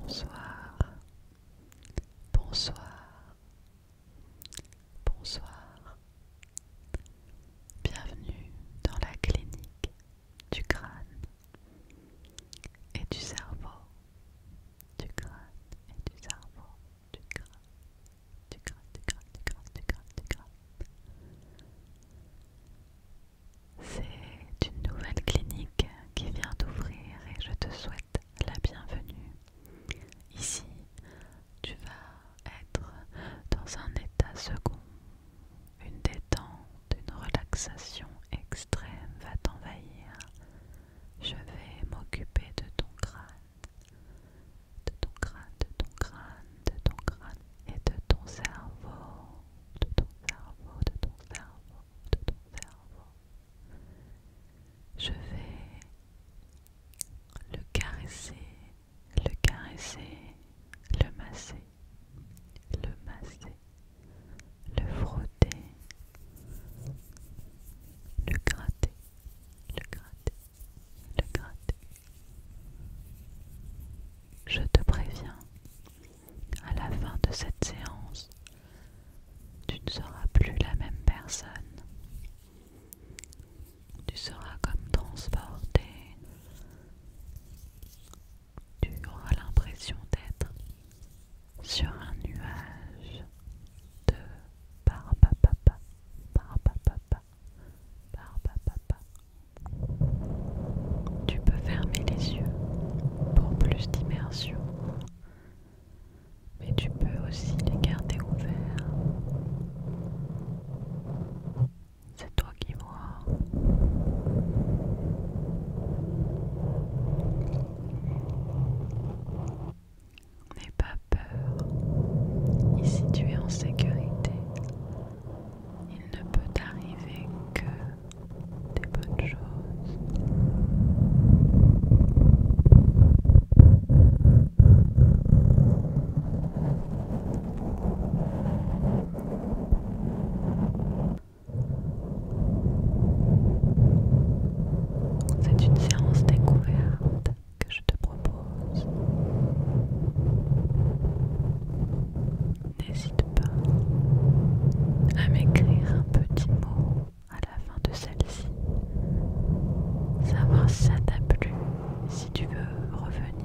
Bonsoir, bonsoir, Bonsoir. Bienvenue dans la clinique du crâne et du cerveau. Du crâne et du cerveau. Du crâne. Du crâne, du crâne, du crâne, du crâne, C'est une nouvelle clinique qui vient d'ouvrir et je te souhaite la bienvenue. Ici, tu vas être dans un état second. Une détente, une relaxation extrême va t'envahir. Je vais m'occuper de ton crâne, de ton crâne, de ton crâne, de ton crâne et de ton cerveau, de ton cerveau, de ton cerveau, de ton cerveau. Je vais le caresser, le caresser, le masser, le masser, le frotter, le gratter, le gratter, le gratter. Je te préviens, à la fin de cette séance, tu ne seras plus la même personne tu seras comme transporté, tu auras l'impression d'être sur un nuage de pa pa pa Tu peux fermer les yeux pour plus d'immersion mais tu peux aussi les garder ouverts. C'est toi qui vois. N'aie pas peur. Ici tu es en sécurité. Il ne peut t'arriver que des bonnes choses. C'est une séance découverte que je te propose. N'hésite pas à m'écrire un petit mot à la fin de celle-ci, savoir ça t'a plu, si tu veux revenir.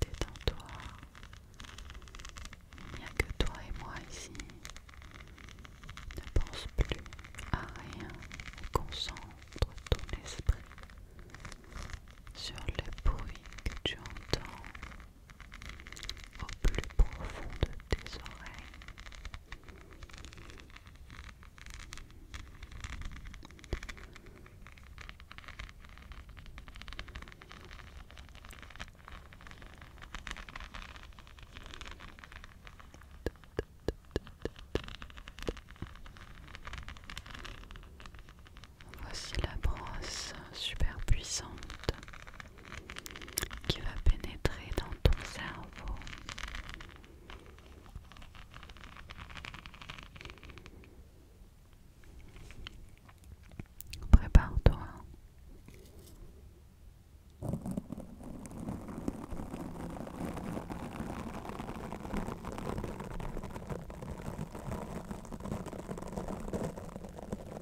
Détends-toi. Il que toi et moi ici. Ne pense plus à rien concentre ton esprit sur le bruit que tu entends au plus profond de tes oreilles. Voici la brosse super puissante qui va pénétrer dans ton cerveau. Prépare-toi.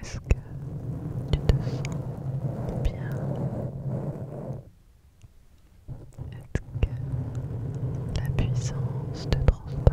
Est-ce que tu te sens bien Est-ce que la puissance te transporte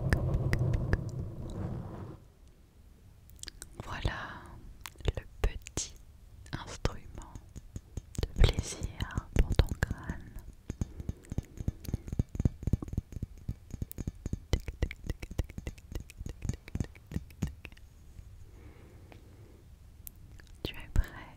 Voilà le petit instrument de plaisir pour ton crâne. Tu es prêt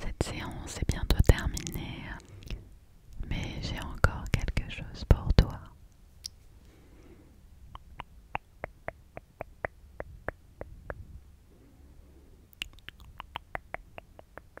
Cette séance est bientôt terminée, mais j'ai encore quelque chose pour toi.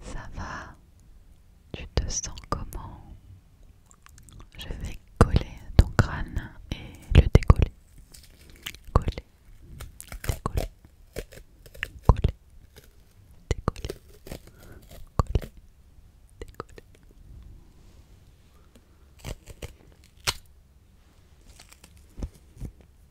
Ça va Tu te sens comment Je vais coller ton crâne et le décoller. Coller, décoller, coller, décoller, coller, décoller.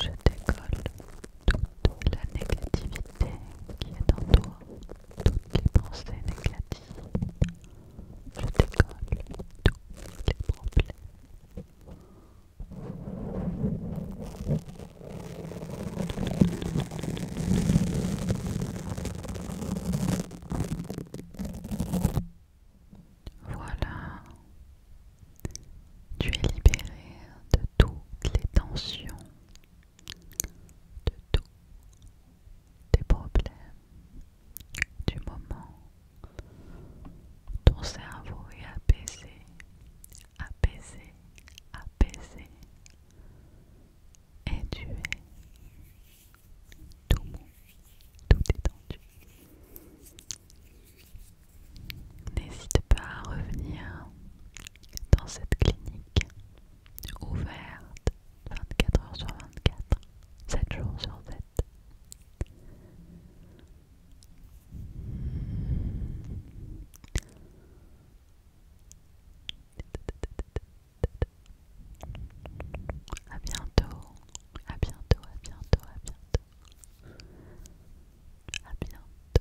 Je décolle toute la négativité qui est en toi, toutes les pensées négatives. Je décolle tous les problèmes voilà, tu es libéré de toutes les tensions, de tous tes problèmes, du moment ton cerveau est apaisé, apaisé, apaisé, et tu es tout mou, tout détendu. N'hésite pas à revenir dans cette clinique ouverte 24 h sur 24, 7 jours sur 7. À bientôt, à bientôt, à bientôt, à bientôt. À bientôt.